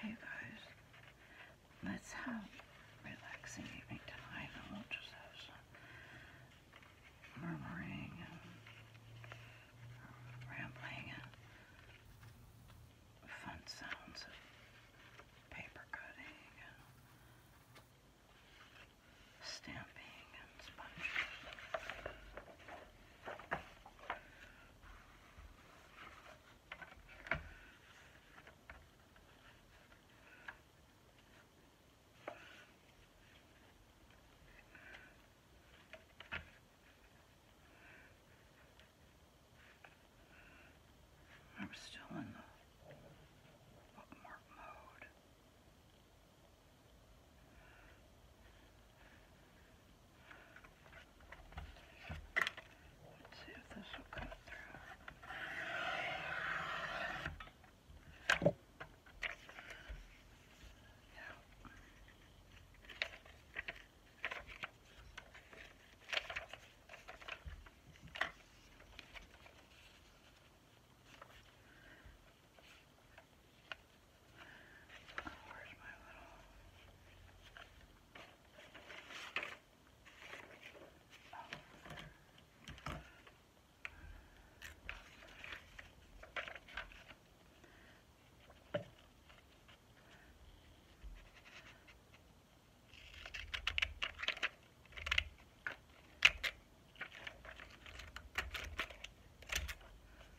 Hey guys, let's have relaxing evening tonight I we'll just have some murmuring and um, rambling and fun sounds of paper cutting and stamping and sponges. I'm still in the bookmark mode. Let's see if this will cut through. Yeah. Where's my little? Oh. Oops.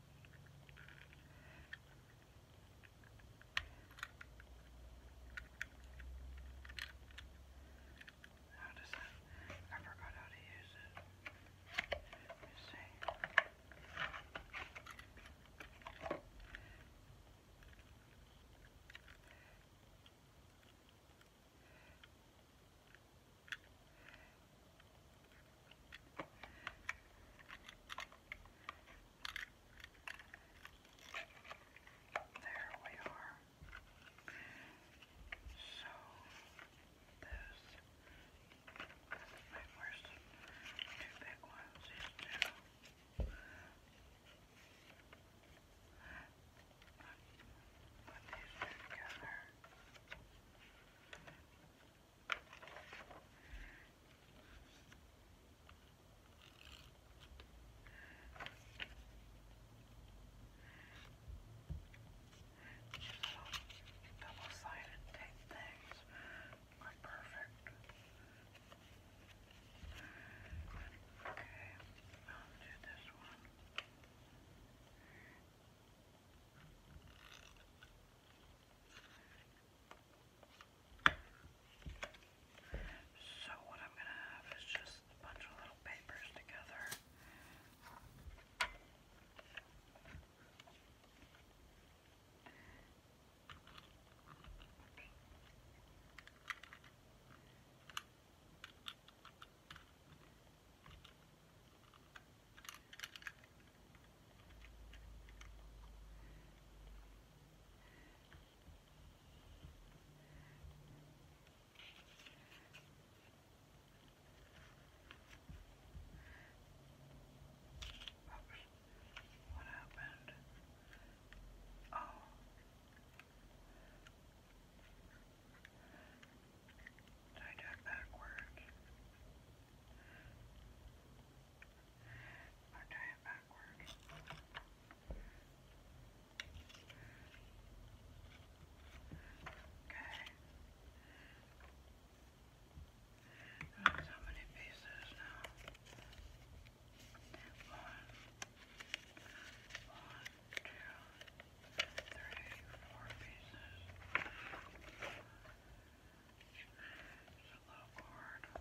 How does that? I forgot how to use it. Let me see. There we are. So this wait, where's the two big ones? These two. Put these two together. There little double-sided tape things are perfect. Okay, I'll do this one. And so, what I'm going to have is just a bunch of little papers together. Okay. Oops. What happened? Oh. Did I do it I'll do Okay. how many pieces now? One, one, two, three, four pieces. It's a low cord. And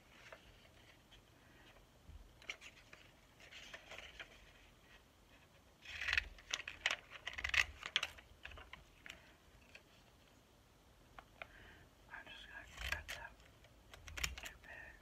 I'm just going to cut that too big. And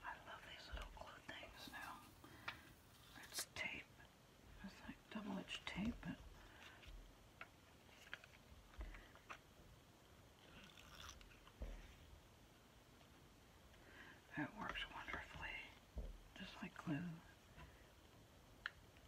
I love these little glue things now. It's tape. It's like double-edged tape, but it works wonderfully, just like glue.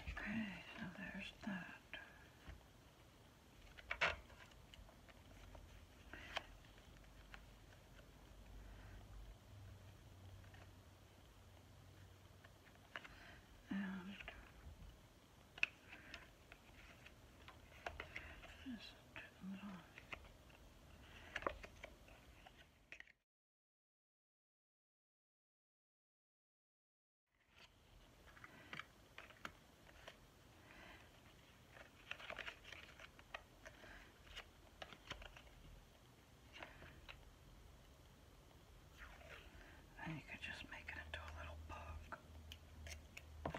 Okay, so there's that. And this to and you could just make it into a little book.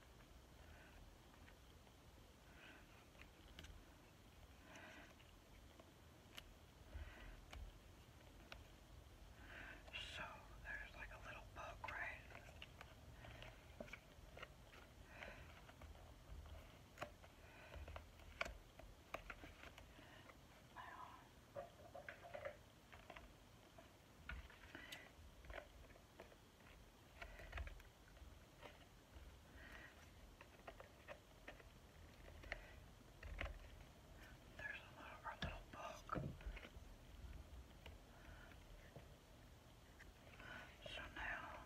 So there's like a little book, right? Wow. There's a little book. So now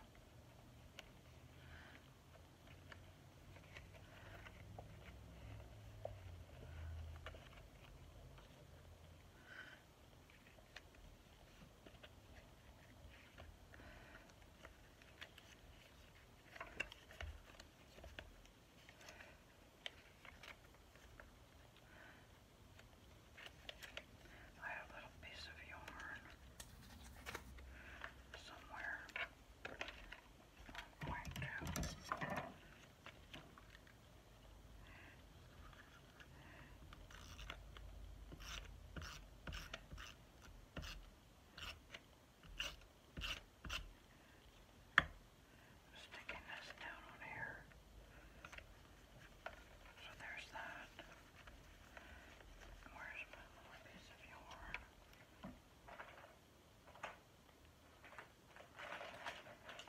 I had a little piece of yarn somewhere. I'm going to Sticking this down on here. So there's that. Where's my little piece of yarn? I'm going to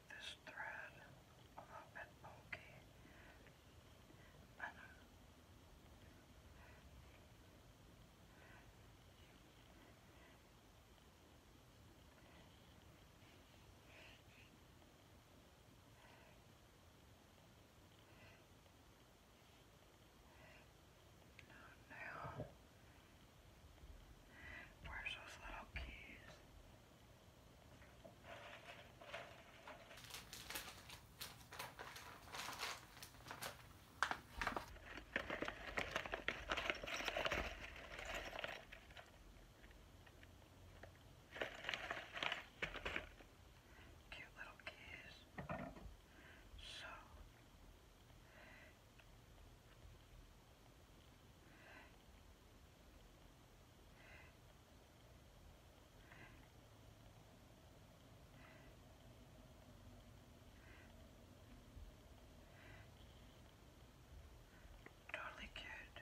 make this thread a little bit bulky and uh, now, where's those little keys? There Cute little kids. So Totally cute.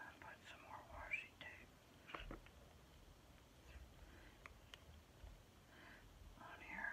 I'll put some more washi tape on here.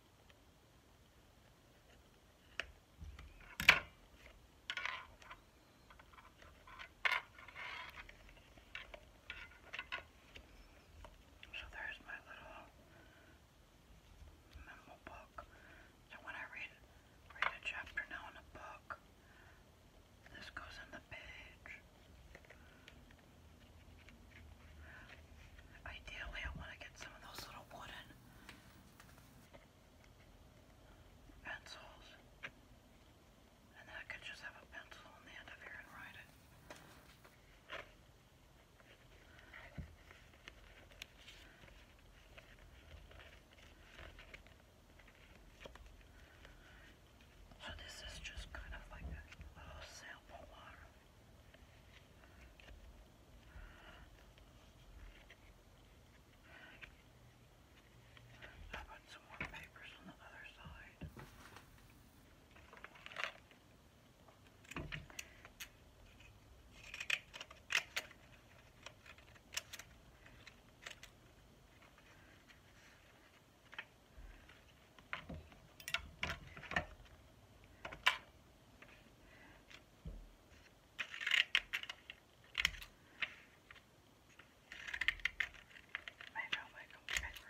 So there's my little memo book. So when I read read a chapter now in a book, this goes in the page. Ideally, I want to get some of those little wooden pencils. And then I could just have a pencil on the end of here and write it. So this is just kind of like a little sample I put some more papers on the other side. Maybe I'll make them paper.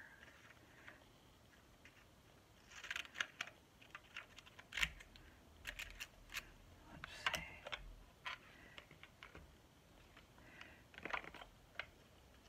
Let's see.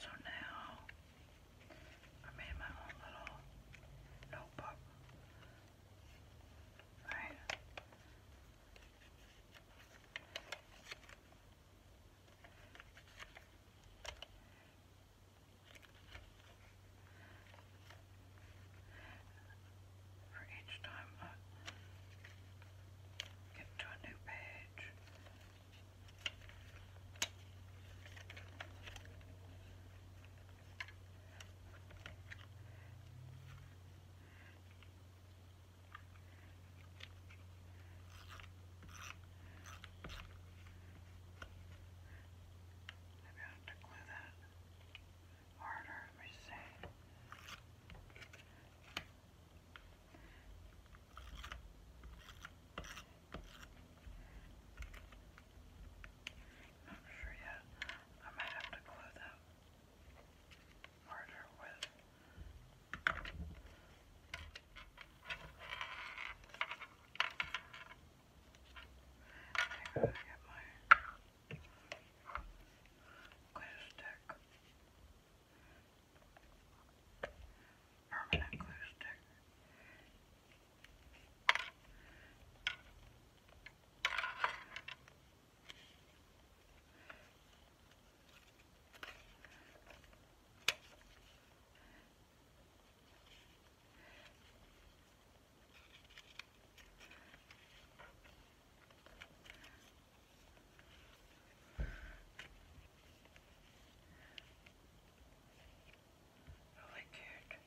So now I made my own little notebook. Right? For each time I get to a new page, Maybe I have to glue that harder, let me see. Not sure yet. I might have to glue that murder with. I gotta get my glue stick. Permanent glue stick. Oh, really cute.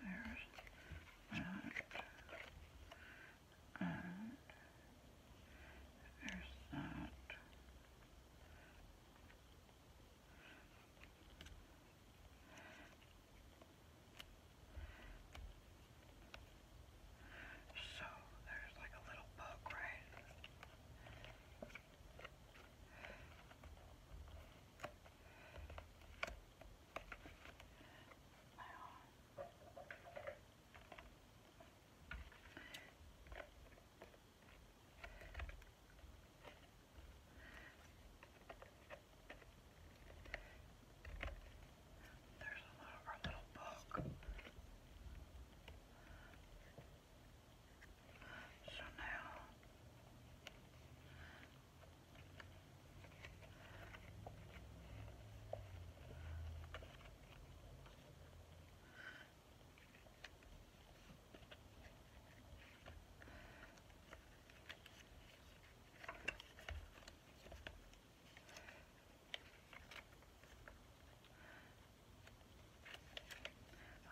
There's that. And there's that. So there's like a little book, right? Wow. Wow. There's a lot of our little book. So now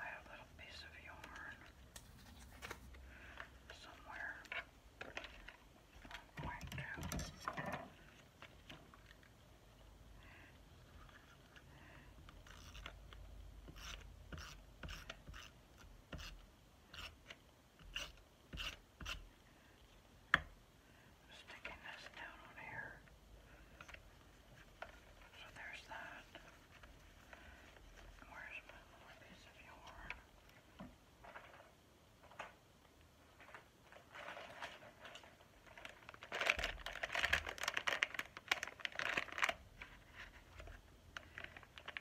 I had a little piece of yarn somewhere. I'm going to Put Sticking this down on here. So there's that. Where's my little piece of yarn? I'm going to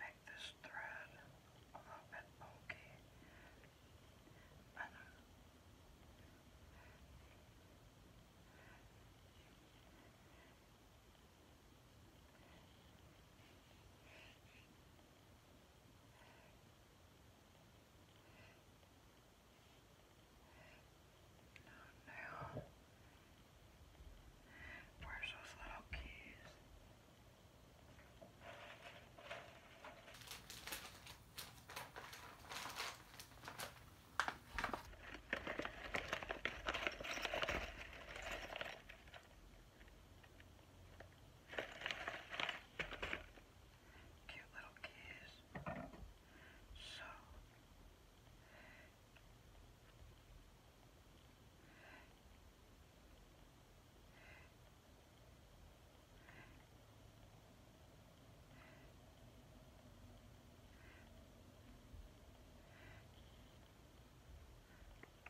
Make this thread a little bit bulky uh, now, where's those little keys? Cute little keys. So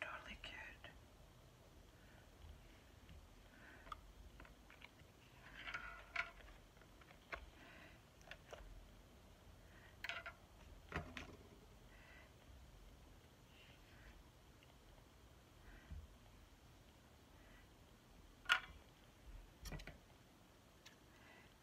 Totally good.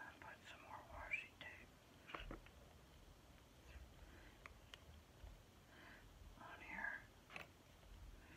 I put some more washi tape on here. There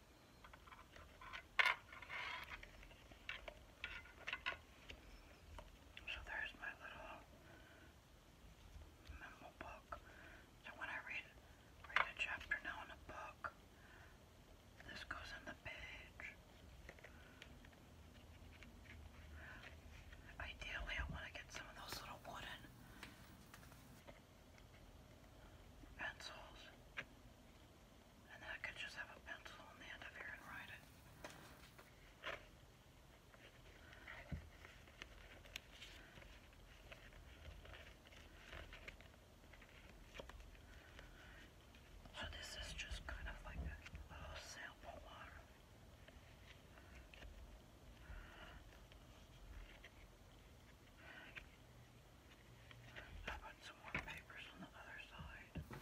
So there's my little memo book. So when I read read a chapter now in a book, this goes on the page. Ideally, I want to get some of those little wooden pencils. And then I could just have a pencil on the end of here and write it. So this is just kind of like a sample I put some more papers on the other side.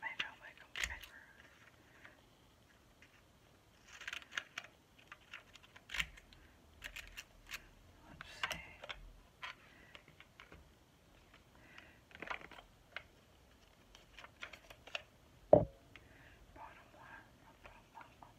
Maybe I'll make them paper. Let's see. Bottom one, bottom one.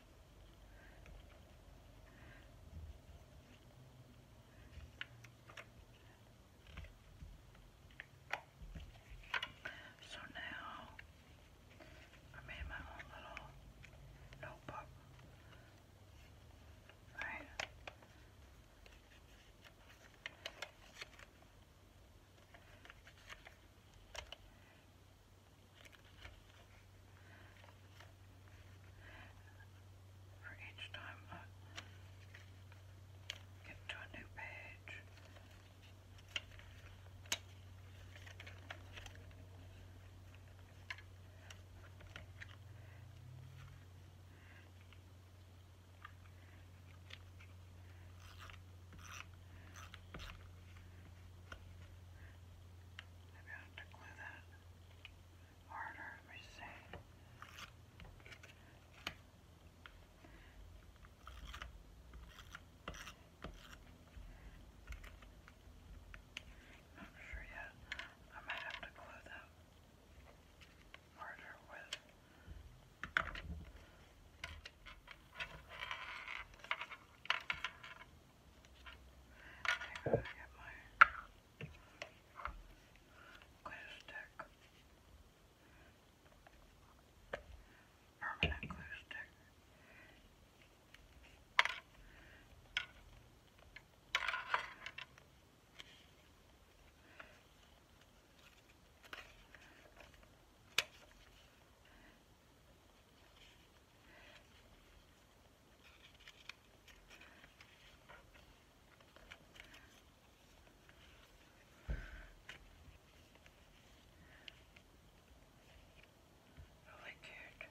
So now I made my own little notebook. Right. For each time I get to a new page. Maybe I have to glue that harder, let me Not sure yet. I might have to glue them harder with I gotta get my glue stick. Permanent glue stick. I Oh, really cute.